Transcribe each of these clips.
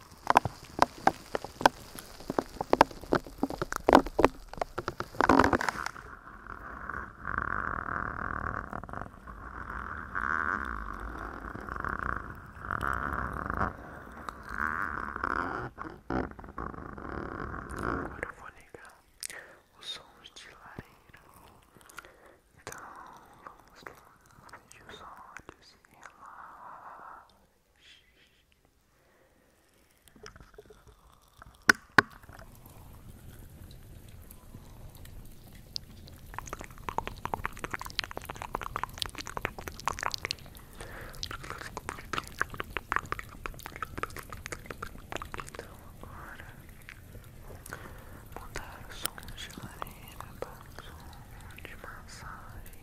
Agora eu vou ligar os sons de lareira. Então vamos lá, feche os olhos e relaxa. Então agora mudar o som de lareira para o som de massagem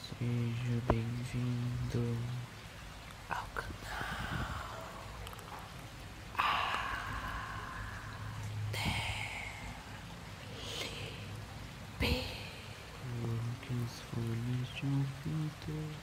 Seja bem-vindo ao canal A ADLP. Quem se for neste ouvido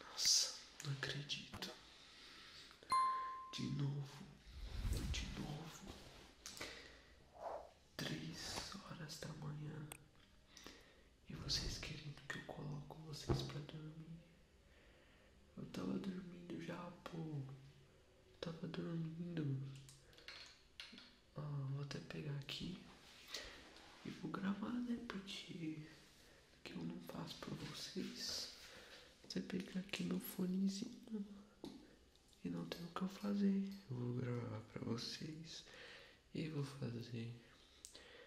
Nossa, não acredito. De novo, de novo. Três horas da manhã. E vocês querendo que eu coloco vocês pra dormir. Eu tava dormindo já, pô. tava dormindo. Ah, vou até pegar aqui. E vou gravar, né? Porque que eu não faço pra vocês. Você pegar aqui meu fonezinho e não tem o que eu fazer. Eu vou gravar pra vocês e vou fazer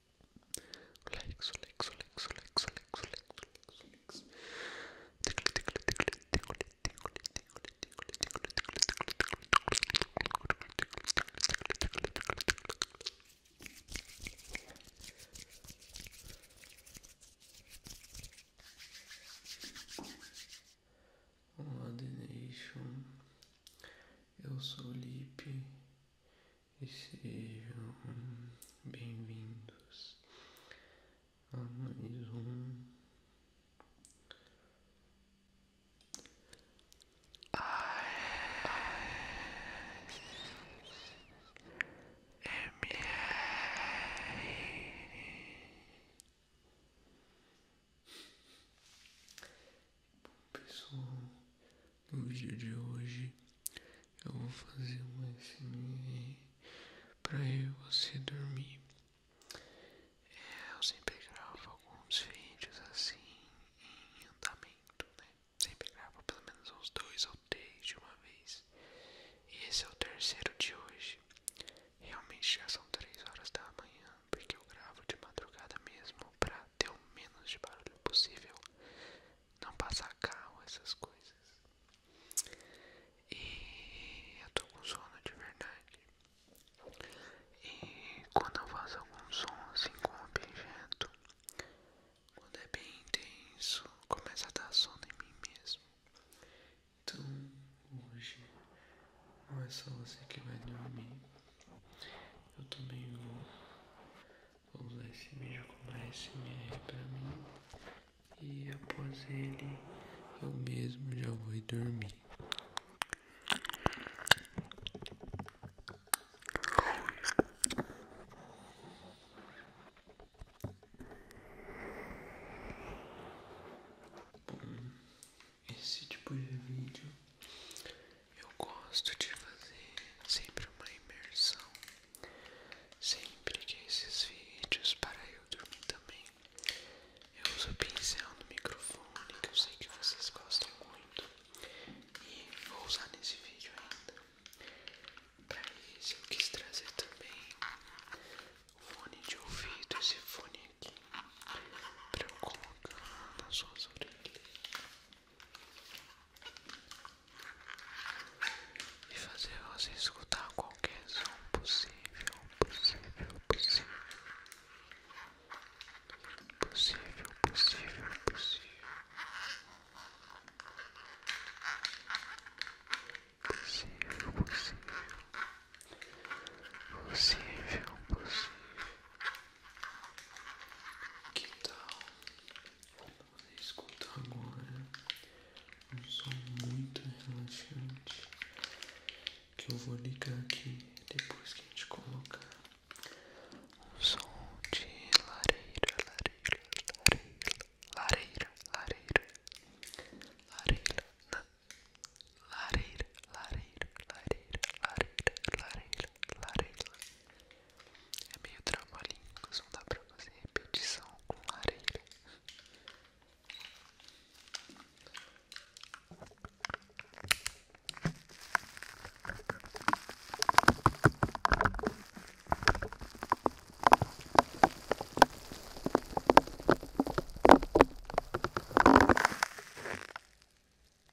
Lex, Lex, Lex, Lex, Lex, Lex, Lex. Olá, The Nation. Eu sou o Lipe e sejam bem-vindos a mais um Pessoal, no vídeo de hoje eu vou fazer um SMR para eu você dormir. É, eu sempre gravo alguns vídeos assim em andamento, né? Sempre gravo pelo menos uns dois ou três de uma vez. E esse é o terceiro de hoje. Realmente já são três horas da manhã porque eu gravo de madrugada mesmo pra ter o menos de barulho possível, não passar carro, essas coisas. E eu tô com sono de verdade. E quando eu faço algum som assim com um objeto, quando é bem intenso, começa a dar sono em mim mesmo. Então hoje não é só você que vai dormir. Eu também vou, usar esse vídeo como ASMR pra mim. E após ele, eu mesmo já vou dormir esse tipo de vídeo eu gosto de fazer sempre uma imersão, sempre que esses vídeos para eu dormir também. Eu uso pincel no microfone que eu sei que vocês gostam muito e vou usar nesse vídeo ainda. Para isso eu quis trazer também o fone de ouvido, esse fone aqui para eu colocar nas suas orelhas e fazer você escutar qualquer som possível, possível, possível, possível, possível, possível, possível, possível. Possível, possível, que tal você escutar agora um som muito relaxante que eu vou ligar aqui depois que a gente colocar um som de lareira, lareira, lareira, lareira, lareira, lareira, lareira, lareira, lareira, lareira, lareira, lareira larela. É meio trava-línguas, não dá pra fazer repetição com lareira.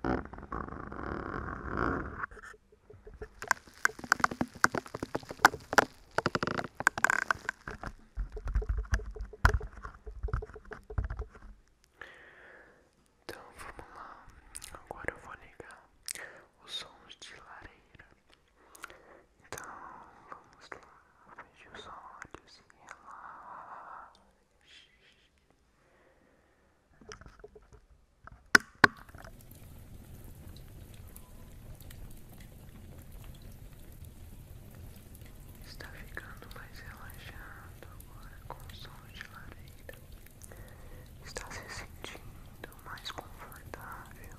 Então vamos lá, agora eu vou ligar os sons de lareira. Então vamos lá, feche os olhos e relaxe. Está ficando mais relaxado agora com som de lareira. Está se sentindo mais confortável.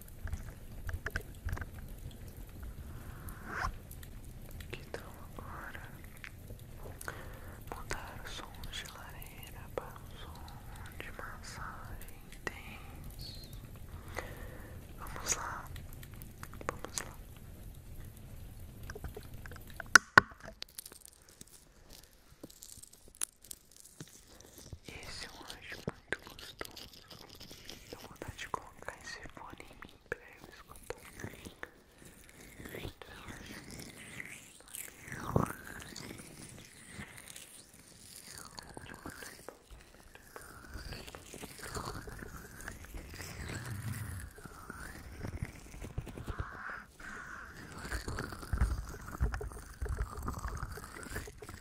Então agora mudar o som de lareira para o som de massagem intenso. Vamos lá, vamos lá. Esse é um anjo muito gostoso. Dá vontade de colocar esse fone em mim pra eu escutar. Esse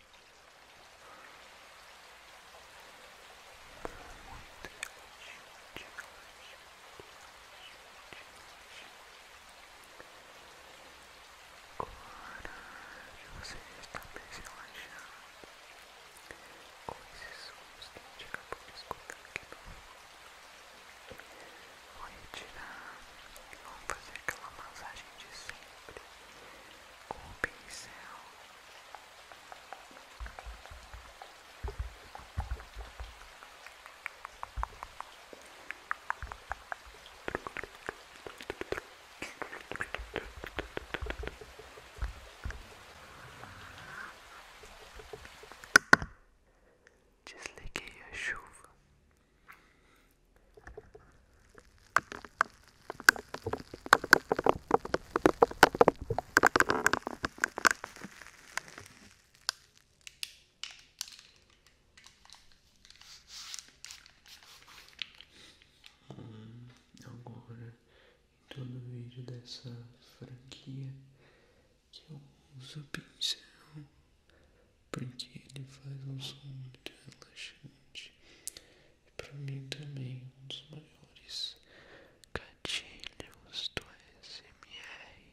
agora você está bem relaxando com esses sons que a gente acabou de escutar aqui no fundo. Vou retirar, vamos fazer aquela massagem de sempre. or B Just like your shoe. Hum, agora, em todo vídeo dessa franquia, que eu uso pincel porque ele faz um som muito relaxante para mim também um dos maiores gatilhos do SMR.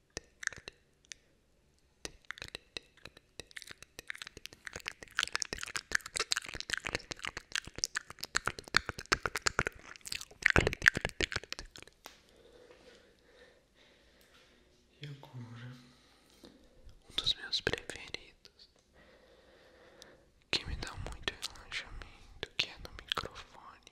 E agora, um dos meus preferidos, que me dá muito relaxamento, que é no microfone.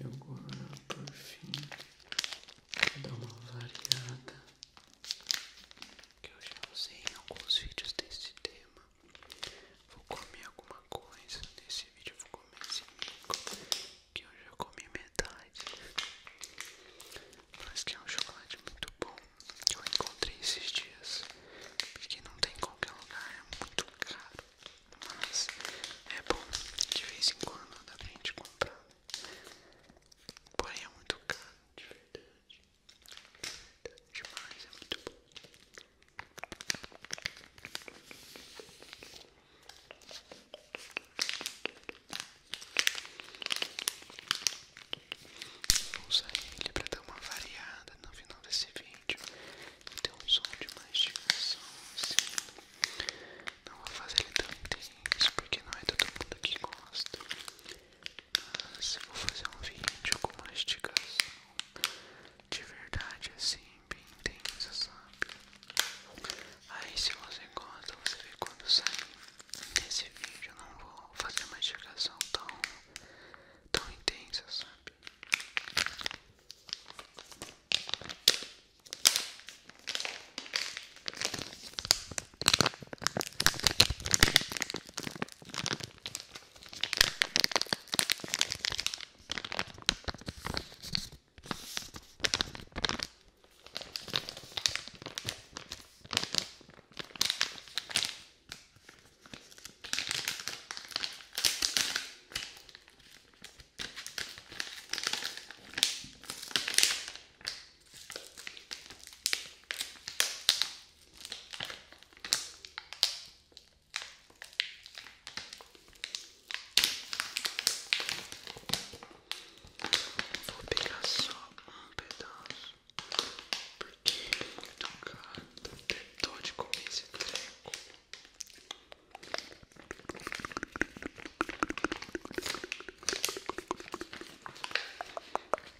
E agora, por fim, vou dar uma variada que eu já usei em alguns vídeos desse tema. Vou comer alguma coisa nesse vídeo, vou comer esse que eu já comi metade, parece que é um chocolate muito bom que eu encontrei esses dias, porque não tem qualquer lugar, é muito caro, mas é bom de vez em quando dá pra gente comprar, porém é muito caro, de verdade, de verdade demais, é muito bom. Vou usar ele para dar uma variada no final desse vídeo. ter um som de mastigação assim. Não vou fazer ele tão intenso porque não é todo mundo que gosta. Mas eu vou fazer um vídeo com mastigação de verdade assim, bem intensa, sabe? Aí se você gosta, você vê quando sair. Nesse vídeo eu não vou fazer mastigação tão tão intensa, sabe? Vou pegar só um pedaço. Porque o cara tentou de comer esse treco.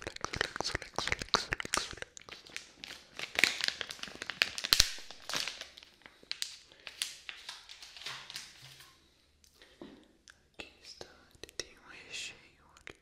Lex, lex, lex, lex, lex. Aqui está, ele tem um recheio, olha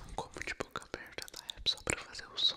não como de boca aberta da tá? app é só pra fazer o som.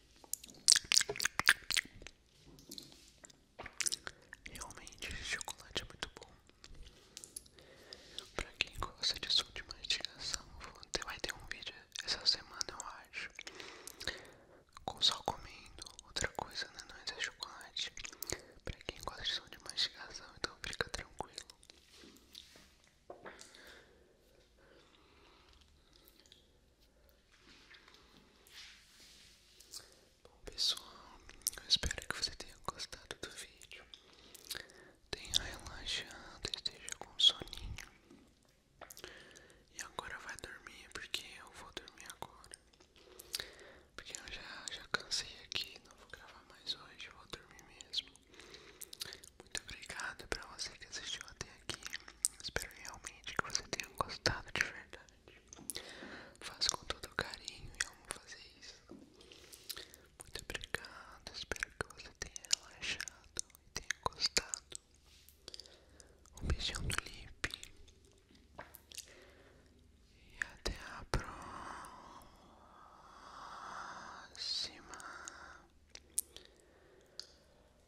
Realmente, esse chocolate é muito bom. Pra quem gosta de som de mastigação, vai ter um vídeo essa semana, eu acho. Com só comendo, outra coisa, né? Não é chocolate. Pra quem gosta de som de mastigação, então fica tranquilo. Bom pessoal, eu espero que você tenha gostado do vídeo. Tenha relaxado, esteja com soninho. E agora vai dormir porque eu vou dormir agora. Porque eu já, já cansei aqui, não vou gravar mais hoje, vou dormir mesmo. Muito obrigado para você que assistiu até aqui. Espero realmente que você tenha gostado de verdade. Faço com todo carinho e amo fazer isso. Muito obrigado. Espero que você tenha relaxado e tenha gostado. Um beijão do Lipe. E até a próxima.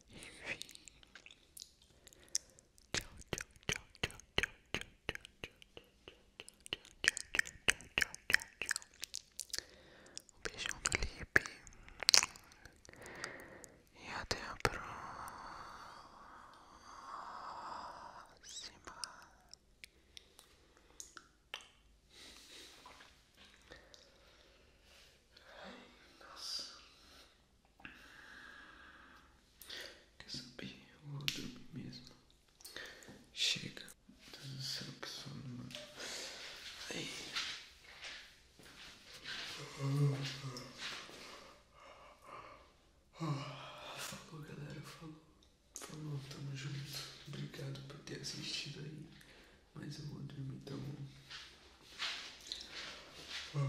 Enfim. Tchau, tchau, tchau, tchau, tchau, tchau, tchau, tchau, tchau, tchau, tchau, tchau, tchau, tchau, tchau. Um beijão do Lipe. E até a próxima. Nossa. Quer saber? Eu vou dormir mesmo. Chega. Meu Deus do céu, que Falou, galera. Falou. Falou, tamo junto. Obrigado por ter assistido aí. Mas eu vou dormir tão. Tá